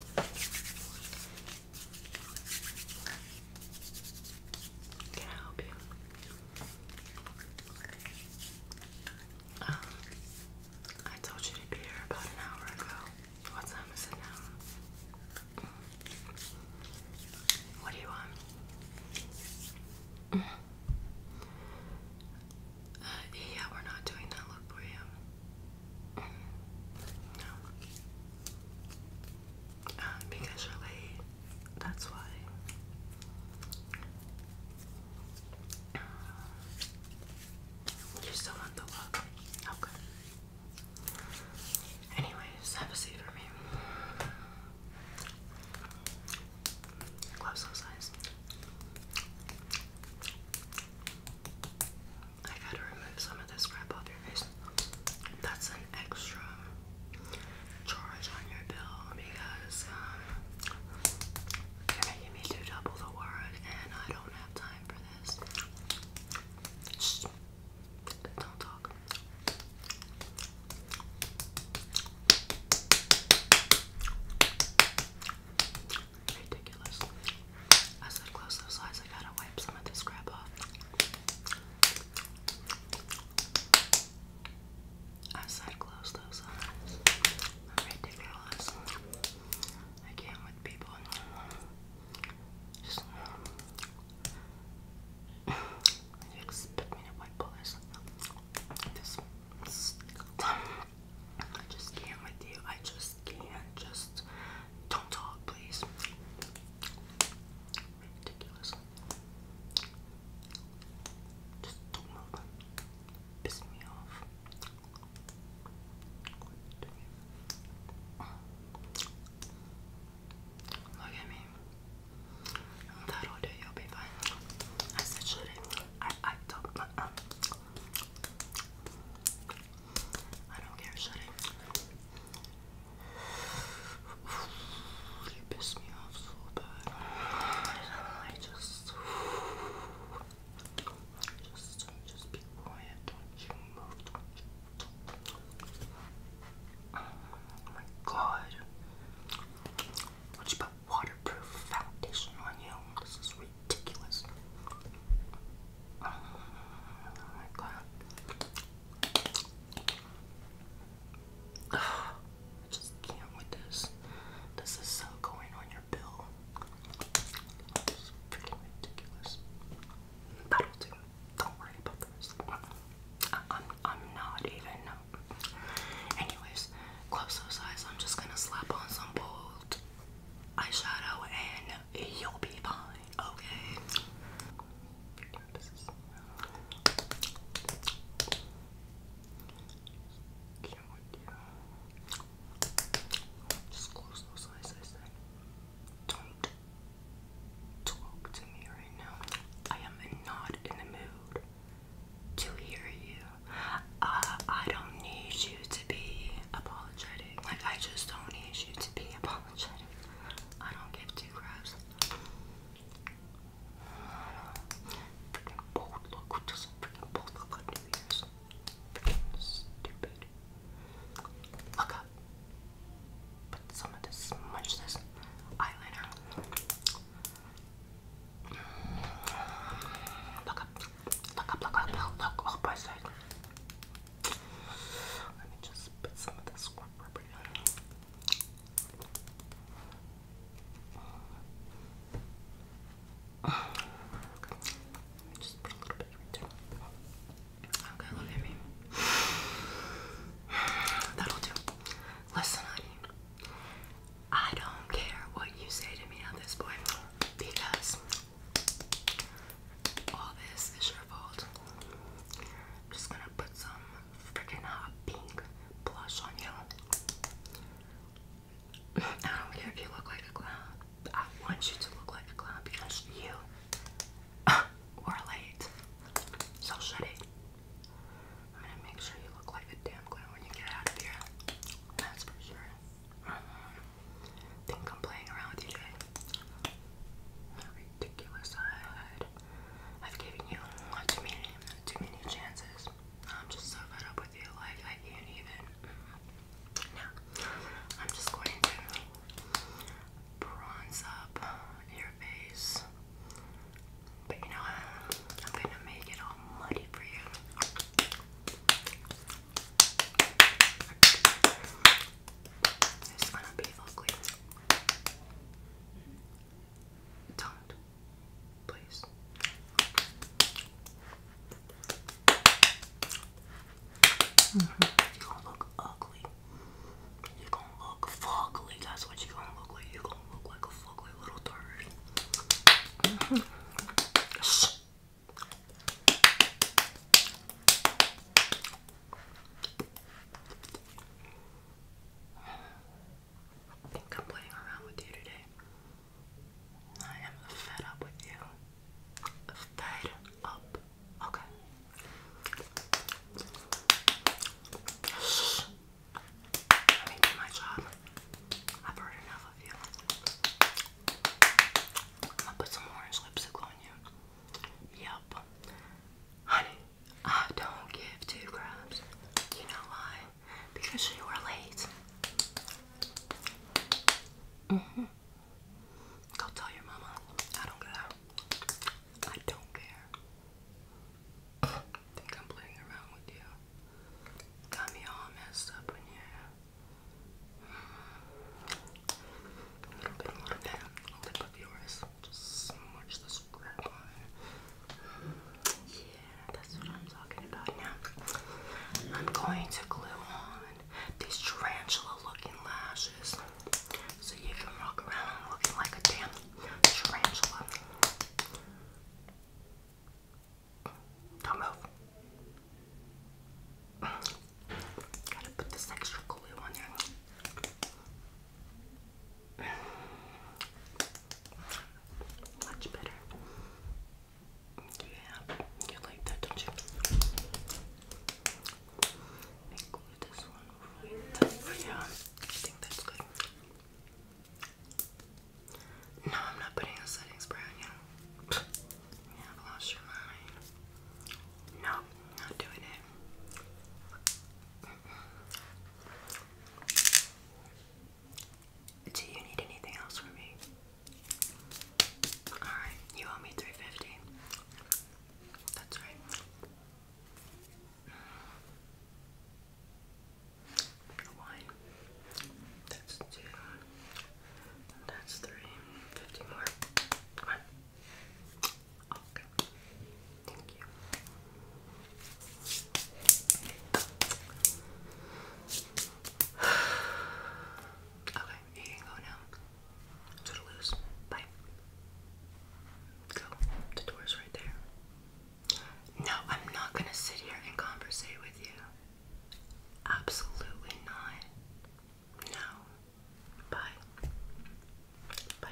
Can I help you? Um, I told you to be here about an hour ago. What time is it now? What do you want? Uh, yeah, we're not doing that look for you. Um, because you're late. That's why. Um, you still want the look? Okay. Anyways, have a seat for me. Gloves so I've had to remove some of this crap off your face. That's an extra charge on your bill because um, you're making me do double the word and I don't have time for this. Shh. Don't talk ridiculous. I said close those eyes, I gotta wipe some of this crap off. I said close those eyes. I'm ridiculous. I can't with people. Just you expect me to wipe all this. This. I just can't with you. I just can't. Just don't talk, please. Ridiculous. Just don't move. Piss me off. Look at me. That'll do. You'll be fine. I said, should I? I, I don't. Um, I don't care, shut You pissed me off so bad. I just, just, just be quiet. Don't you move? Oh my God! Would you put waterproof foundation on you? This is ridiculous. Oh my god. I just can't with this. This is so going on your bill. It's freaking ridiculous. That'll do. Don't worry about this. I'm, I'm not even Anyways, close those eyes. I'm just gonna slap on some bold eyeshadow and you'll be fine, okay? Just close those eyes, I said. Don't talk to me right now. I am not in the mood to hear you. Uh, I don't need you to be apologetic. Like, I just don't need you to be apologetic. I don't give two craps. Freaking bold look. What a freaking bold look New Year's? Freaking stupid. Look up. Put some of this, smudge this eyeliner. Look up, look up, look up, look up by side. Let me just put some of this squirrel rubber Just a little bit Okay, look at me. That'll do. Listen, honey. I don't care what you say to me at this point because all this is your fault. I'm just gonna put some freaking hot pink blush on you. I don't care if you look like a clown. I want you to look like a clown because you are late. So shut it. I'm gonna make sure you look like a damn clown when you get out of here. That's for sure. Uh-huh. Think I'm playing around with you, Ridiculous I've given you too many, too many chances. I'm just so fed up with you. Like I can't even. I'm just going to bronze up your face. But you know I'm gonna make it all muddy for you. It's gonna be ugly. Don't. Please. Mm -hmm. You look ugly you gonna look fugly. That's what you're gonna look like. You're gonna look like a fugly little turd. I think I'm playing around with you today. I am fed up with you. Fed up. Okay. Let me do my job. I've heard enough of you. I'm put some orange lipstick on you. Yep. Honey, I don't give two crabs. You know why? Because you were late. hmm Go tell your mama. I don't care. I don't care. think I'm playing around with you. Got me all messed up in here. A little bit more of that lip of yours. Just smudge the scrap on. Yeah, that's what I'm talking about now. I'm going to glue on these tarantula looking lashes so you can walk around looking like a damn tarantula. Don't move. Gotta put this extra glue on there. Much better. Yeah, you like that, don't you? yeah, I think that's good. No, I'm not putting a setting spray on you. You lost your mind. No, not doing it. Do you need anything else from me? Alright, you owe me 350. That's right. That's two. That's three. Fifty more. Come Okay. Thank you. Okay, you can go now. Toodaloos. Bye. Go. The door's right there. No, I'm not gonna sit here and conversate with you. Absolutely not. No. Bye. Bye.